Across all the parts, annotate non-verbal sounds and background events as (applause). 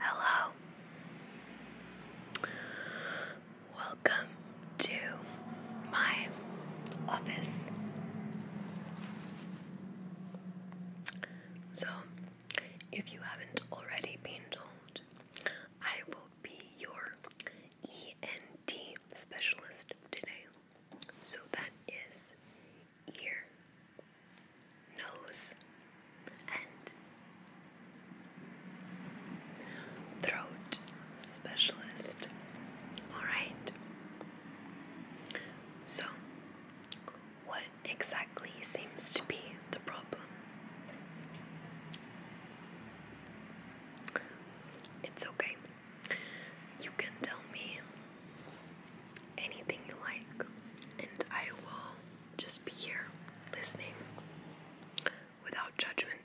Hello. Welcome to my office. So, if you haven't already been told, I will be your ENT specialist today. So, that is ear, nose, and throat specialist. Alright. So, what exactly seems to be the problem? It's okay. You can tell me anything you like, and I will just be here listening without judgment.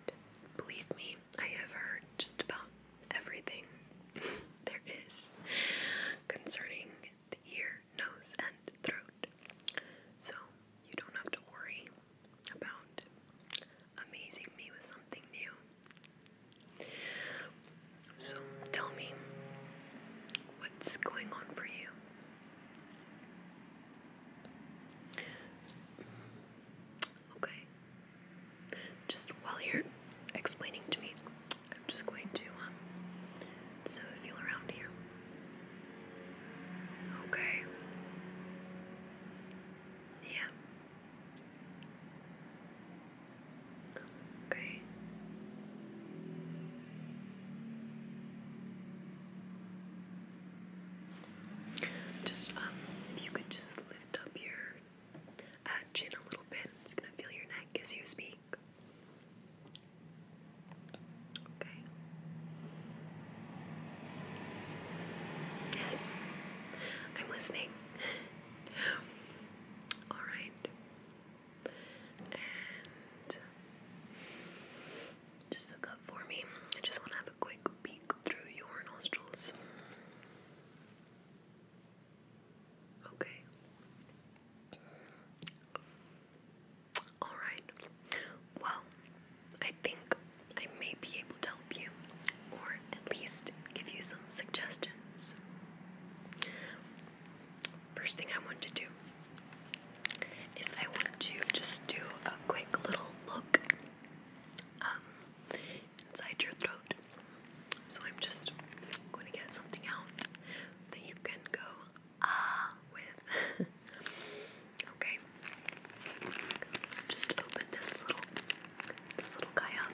Believe me, I have heard just about everything (laughs) there is concerning the ear, nose, and throat. So you don't have to worry about amazing me with something new. So tell me what's going on for you. Okay. Just while you're explaining to me, I'm just going to um so feel around here. Okay. Yeah okay? Just, um, if you could just lift up your uh, chin a little bit. I'm gonna feel your neck as you speak. Okay. Yes, I'm listening. All right and just look up for me. I just want to have a quick peek through your nostrils. Okay. Alright. Well, I think I may be able to help you, or at least give you some suggestions first thing I want to do is I want to just do a quick little look um, inside your throat. So I'm just going to get something out that you can go ah with. (laughs) okay, just open this little this little guy up.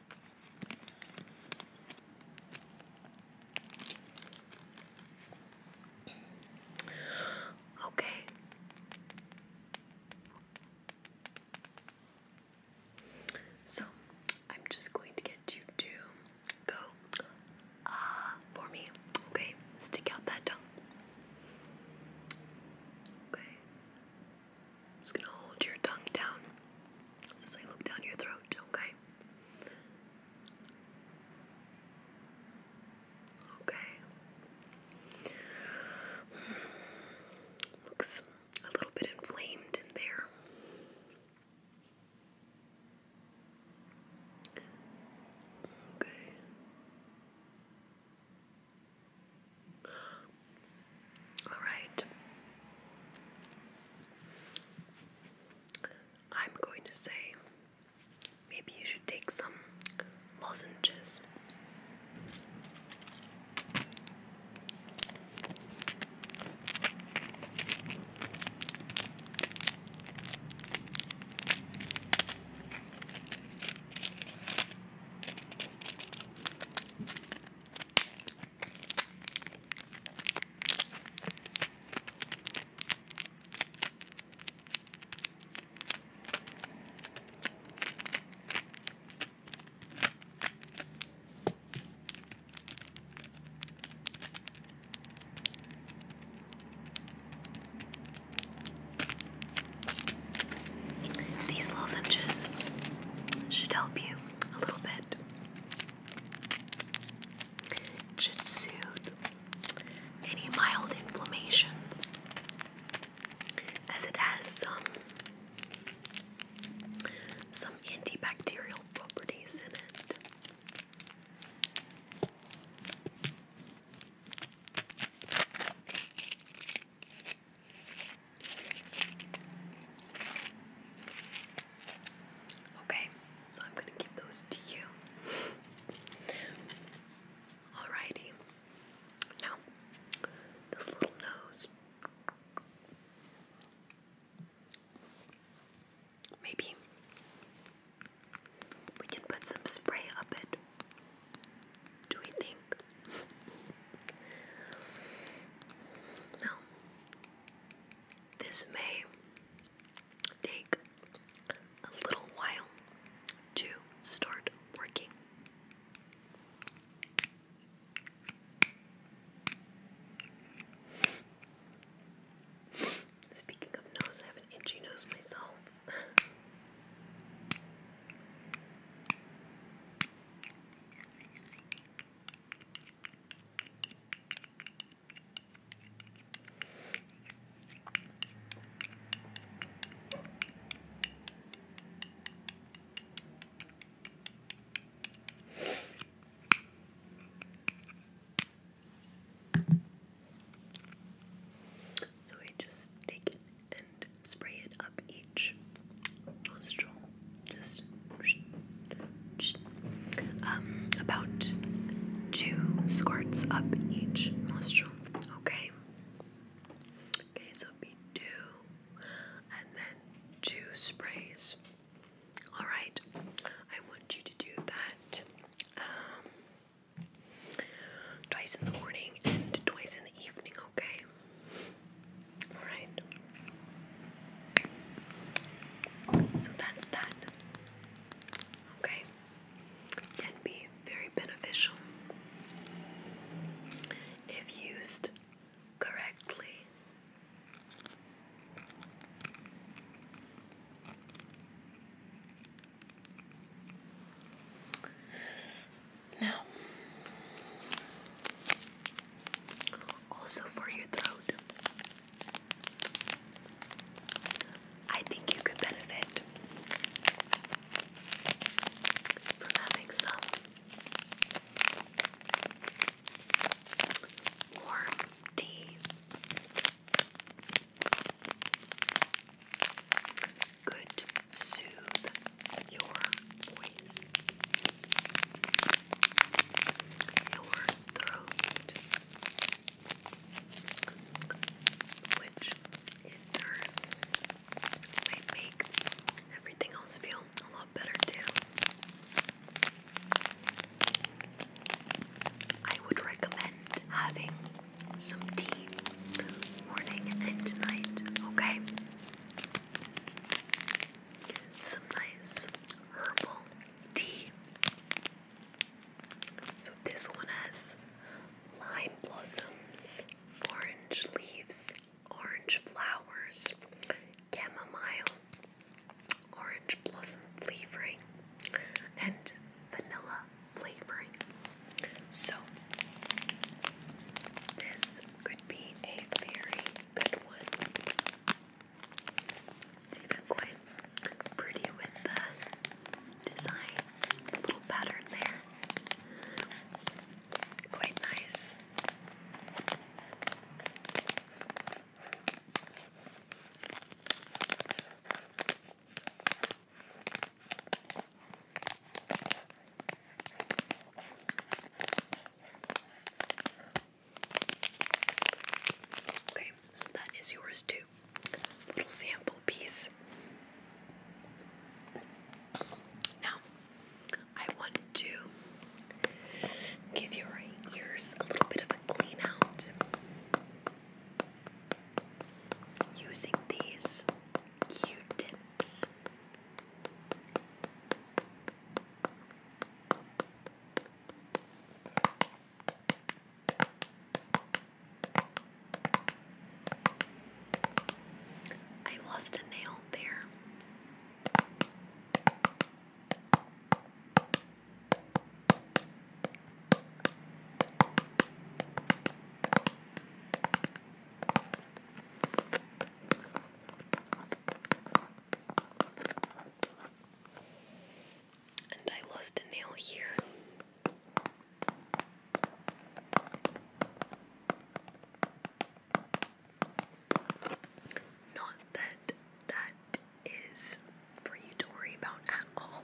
Okay. So I'm just going to get you to go uh for me. Okay. Stick out that tongue. Okay. just gonna hold your tongue down. Since look down your throat, okay? Okay. Looks a little bit inflamed in there. Okay. All right. I'm going to say maybe you should take some lozenges. These lozenges should help you a little bit. It should soothe any mild inflammation as it has some some antibacterial properties in it. Okay, so I'm gonna give those to you. Alrighty. Now, this little nose. Maybe we can put some spray up it. Do we think? no. This may take a little while to start working. Speaking of nose, I have an itchy nose myself. So we just take it and spray it up each nostril, just um, about two squirts up each nostril. Okay. Okay, so it'd be two, and then two sprays. All right. I want you to do that um, twice in the morning and twice in the evening. Okay. All right. So that's that. Okay? Can be very beneficial if used correctly. Now, also for your throat, I think you could benefit from having some warm tea. Good soothe your voice, your throat which in turn might make everything else feel a lot better too. I would recommend having some tea morning and night, okay? Some nice herbal tea so this one has lime blossoms, orange leaves, orange flowers, chamomile, orange blossom flavoring, and vanilla flavoring. So this could be a very good one. It's even quite pretty with the design. little pattern there. Quite nice. Okay, so that is yours too. Little sample piece. Now, I want to give your ears a little bit of a clean using these q tips. I lost a nail there and I lost a nail here. Not that that is for you to worry about at all.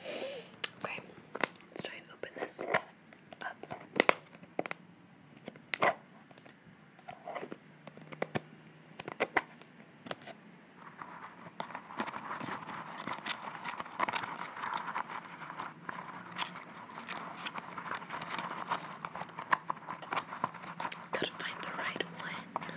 Okay, let's try and open this up. Gotta find the right one. Uh,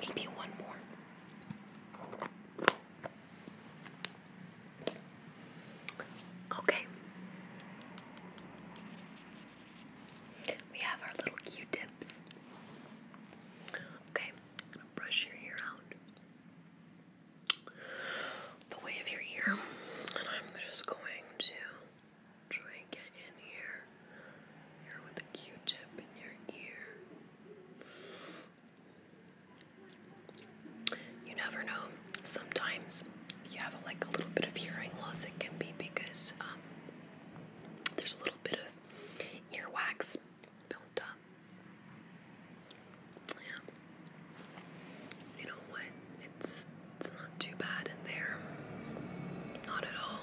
Maybe one more. Okay. We have our little Q tips. Okay, I'm gonna brush your ear out the way of your ear, and I'm just going to Try and get in here. Here with a Q-tip in your ear. You never know. Sometimes if you have like a little bit of hearing loss, it can be because um, there's a little bit of ear wax built up. Yeah you know what? It's it's not too bad in there. Not at all.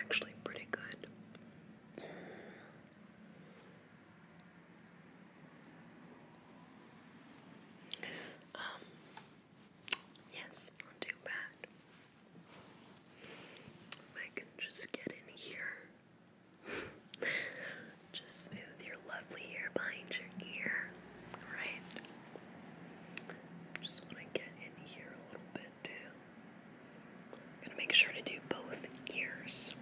Actually pretty good. Um yes, not too bad. If I can just get in here. (laughs) just with your lovely hair behind your ear. Alright? Just want to get in here a little bit too. going to make sure to do both ears.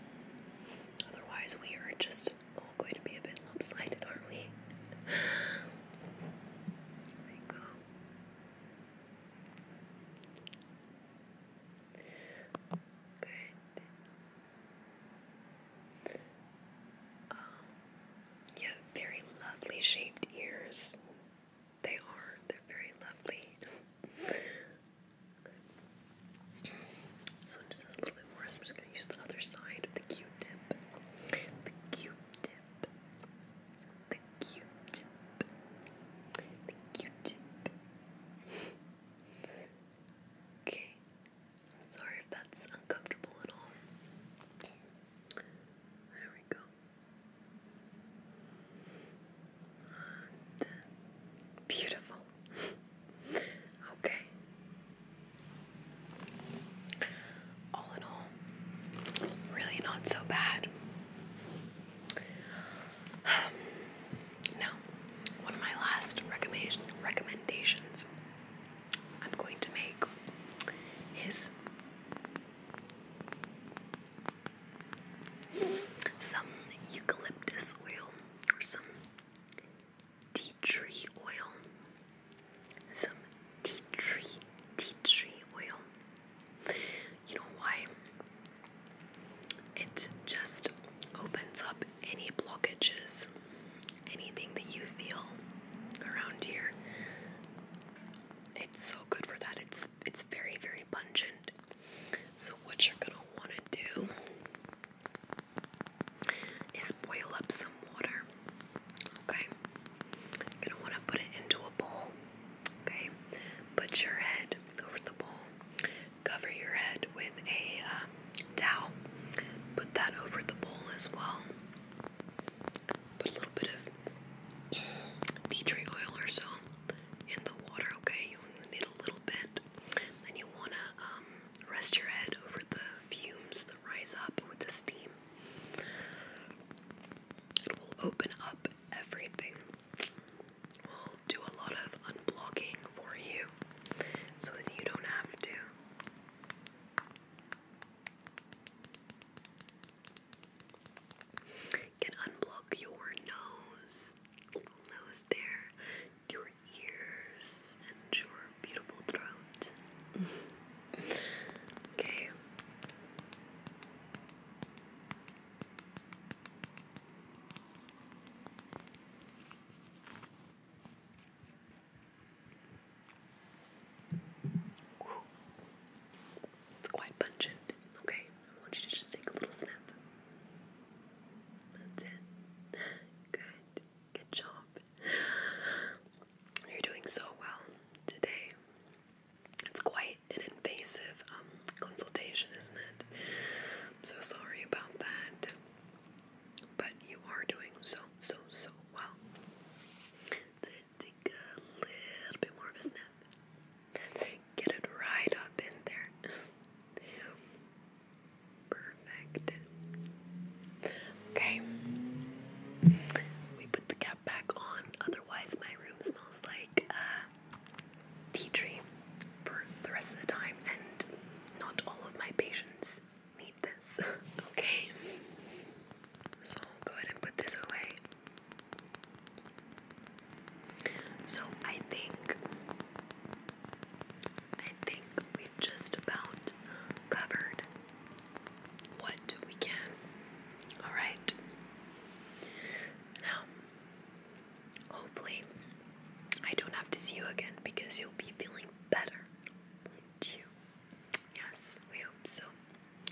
Otherwise, we are just all going to be a bit lopsided, aren't we? There you go. Good. Um, you have very lovely shaped ears. They are, they're very lovely. So one just a little bit more, I'm just going to use the other side the Q-tip. The Q-tip. The Q-tip. The Q-tip. (laughs) okay, Sorry if that's uncomfortable at all. There we go. beautiful. (laughs) okay. All in all, really not so bad. (sighs) now, one of my last recommendation recommendations I'm going to make is some eucalyptus oil or some tea tree oil. Some tea tree, tea tree oil. You know why? It just opens up any blockages anything that you feel around here. It's so good for that. It's it's very very pungent. So what you're gonna want to do is boil up some water. Okay, you're gonna want to put it into a bowl. Okay, put your head over the bowl. Cover your head with a uh, towel. Put that over the bowl as well. Put a little bit of tea oil or so in the water, okay? You only need a little bit. Then you want to um, rest your head over the fumes that rise up with the steam. It will open up everything. We'll do a lot of unblocking for you so that you don't have to can unblock your nose, nose there, your ears, and your beautiful throat. okay. It's quite pungent, okay? I want you to just take a little snap. That's it. (laughs) Good. Good job. You're doing so well today. It's quite an invasive um, consultation, isn't it? so sorry about that but you are doing so, so, so well. take a little bit more of a snap. Get it right up in there. Perfect. Okay. We put the cap back on, otherwise, my room smells like tea tree for the rest of the time, and not all of my patients need this, (laughs) okay? So i go ahead and put this away. So I think I think we've just about covered what we can. Alright. Now hopefully I don't have to see you again because you'll be feeling better, won't you? Yes, we hope so.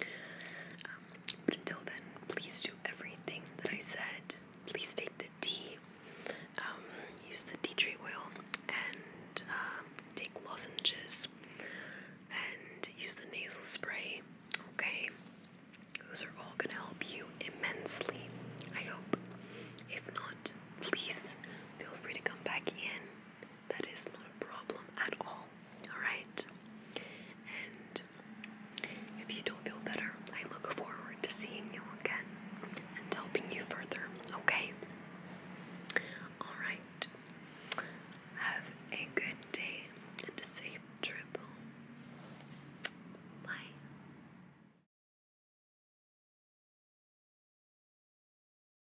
Um, but until then, please do everything that I said. Please take the tea, um, use the tea tree oil, and um, take lozenges and use the nasal spray. Okay, those are all going to help you immensely. I hope. If not, please feel free to come back in that is not a problem at all. Alright? And if you don't feel better, I look forward to seeing you again and helping you further, okay? Alright. Have a good day and a safe trip Bye.